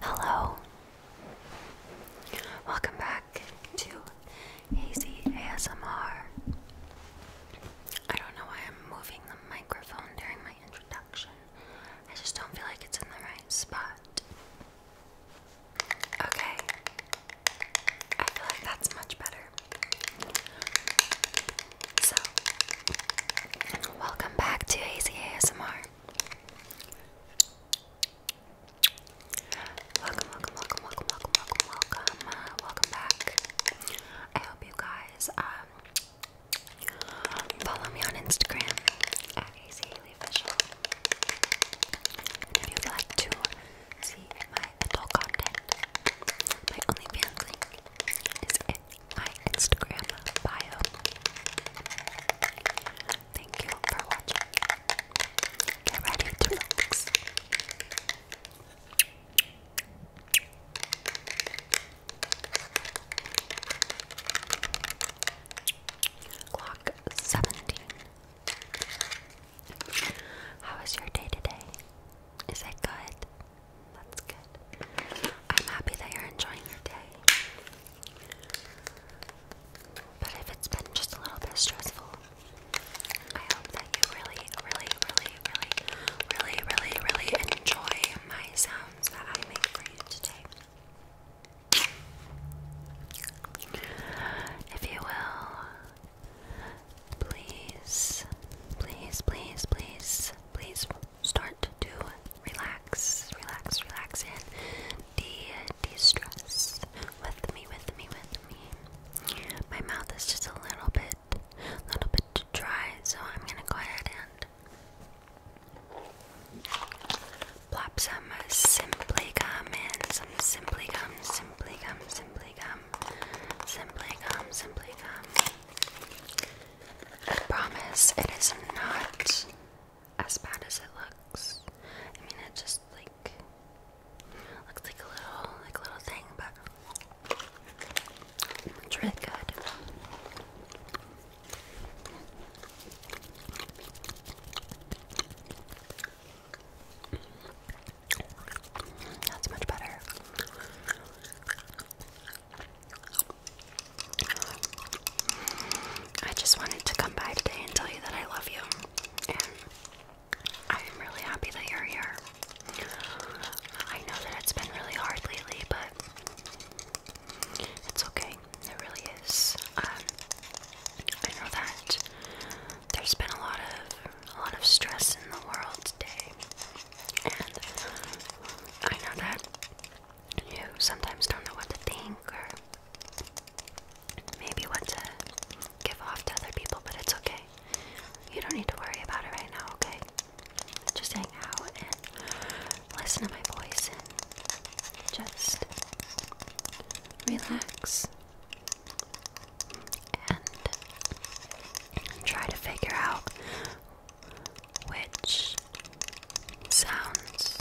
Hello. Welcome back to Hazy ASMR. I don't know why I'm moving the microphone during my introduction. I just don't feel like it's in the right spot. Okay. I feel like that's much better. So, welcome back to Easy ASMR. Welcome, welcome, welcome, welcome, welcome, welcome, welcome, uh, welcome back. I hope you guys um, follow me on Instagram at Official. And if you like to see my adult content, my OnlyFans link is in my Instagram bio. Thank you for watching. Get ready to relax. Clock 17. How was your day today? Is it good? That's good. I'm happy that you're enjoying your day. But if it's been just a little bit stressful, I hope that you really, really, really, really, really, really, really enjoy my sounds that I make for you today. If you will, please, please, please, please please start to relax, relax, relax, and de, de stress with me, with me, with me. My mouth is just a little bit, little bit dry, so I'm gonna go ahead and plop some Simply Gum in, some Simply Gum, Simply Gum, Simply Gum, Simply Gum, Simply Gum. I promise it is not as bad as it looks. I mean, it just like looks like a little, like a little thing, but it's really good. That's much better. I just wanted to come by today and tell you that I love you. And I am really happy that you're here. I know that it's been really hard lately, but it's okay. It really is. Um, I know that there's been a lot of a lot of stress in the world today. And I know that you sometimes don't know what to think or maybe what to give off to other people, but it's okay. You don't need to worry about it right now, okay? Just hang out and listen to my voice and just relax and try to figure out which sounds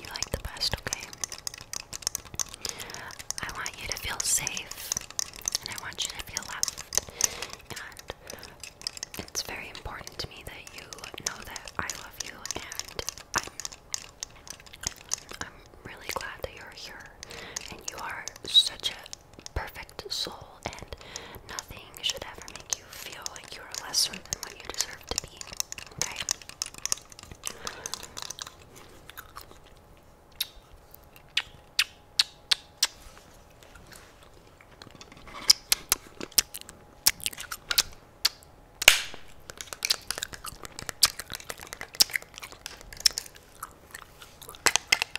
you like the best, okay? I want you to feel safe and I want you to feel loved. And it's very important to me that you know that I love you and I'm I'm really glad that you're here and you are such a perfect soul, and nothing should ever make you feel like you are lesser than what you deserve to be. Okay?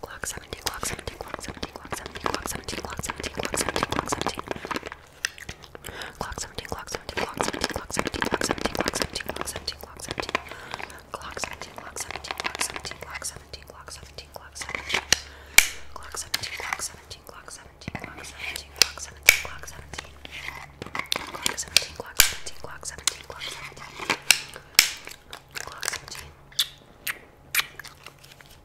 Clock 17, clock 17, clock 17, clock 17, clock 17, clock 17, clock 17, clock 17. Clock 17, clock 17, clock 17, clock 17, clock 17, clock 17, clock 17, clock 17. Clock 17, clock 17, clock 17, clock 17, clock 17, clock 17. Clock 17, clock 17, clock 17, clock 17, clock 17, clock 17. Clock 17, clock 17, clock 17, clock 17. Clock 17.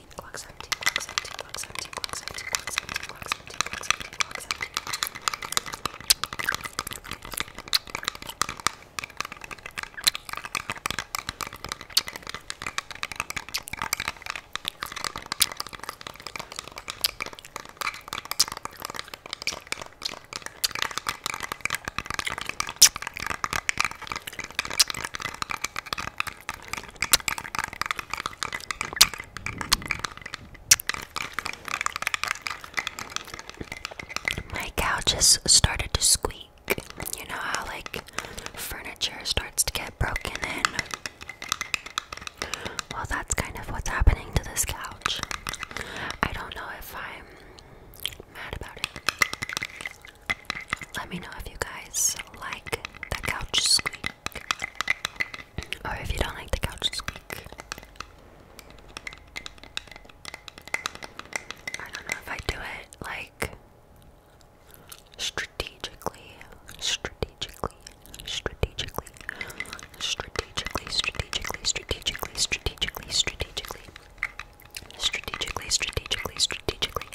17 clock 17 clock 17 clock 17 clock 17 clock 17 clock 17 clock 17 clock 17 my couch just started to squeak. You know how, like, furniture starts to get broken in? Well, that's kind of what's happening to this couch. I don't know if I'm mad about it. Let me know if you guys like the couch squeak. Or if you don't like the couch squeak. I don't know if I do it like strategically, strategically, strategically, strategically, strategically, strategically, strategically, strategically strategically, strategically, strategically,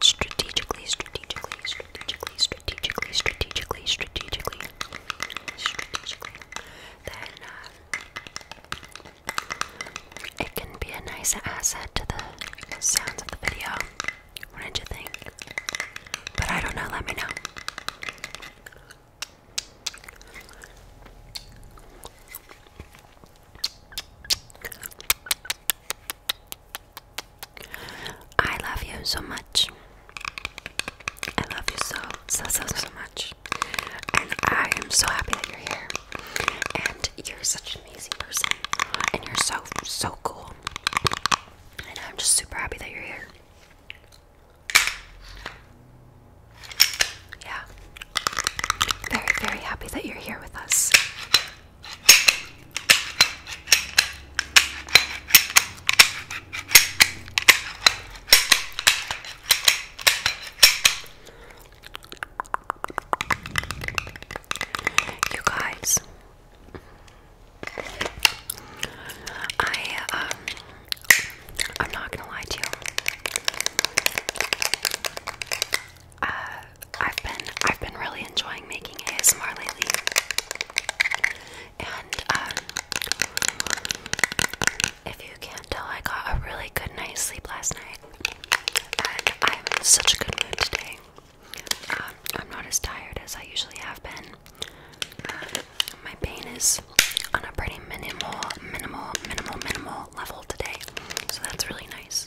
strategically, strategically, strategically, strategically, strategically, strategically, strategically, then uh, it can be a nice asset to the sounds of the video. What did you think? But I don't know, let me know. I love you so much. I love you so, so, so, so much. And I am so happy that you're here. And you're such an amazing person. And you're so, so cool. And I'm just super happy that you're here. Yeah. Very, very happy that you're here with us. You guys, I um, I'm not gonna lie to you. Uh, I've been I've been really enjoying making ASMR lately, and um, if you can't tell, I got a really good night's sleep last night, and I'm in such a good mood today. Um, I'm not as tired as I usually have been. Um, my pain is on a pretty minimal, minimal, minimal, minimal level today, so that's really nice.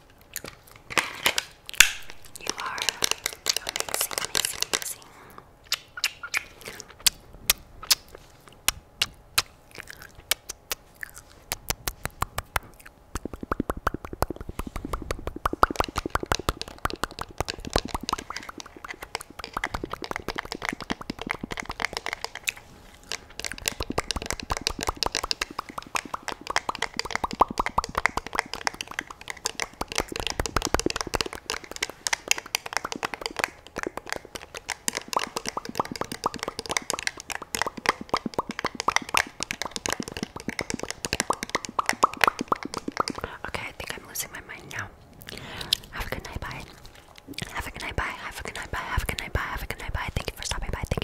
You are amazing, amazing, amazing. Okay, I think I'm losing my mind now. Have a good night, bye. Have a good night, bye. Have a good night, bye. Have a good night, bye. Have a good night, bye. Thank you for stopping by. Thank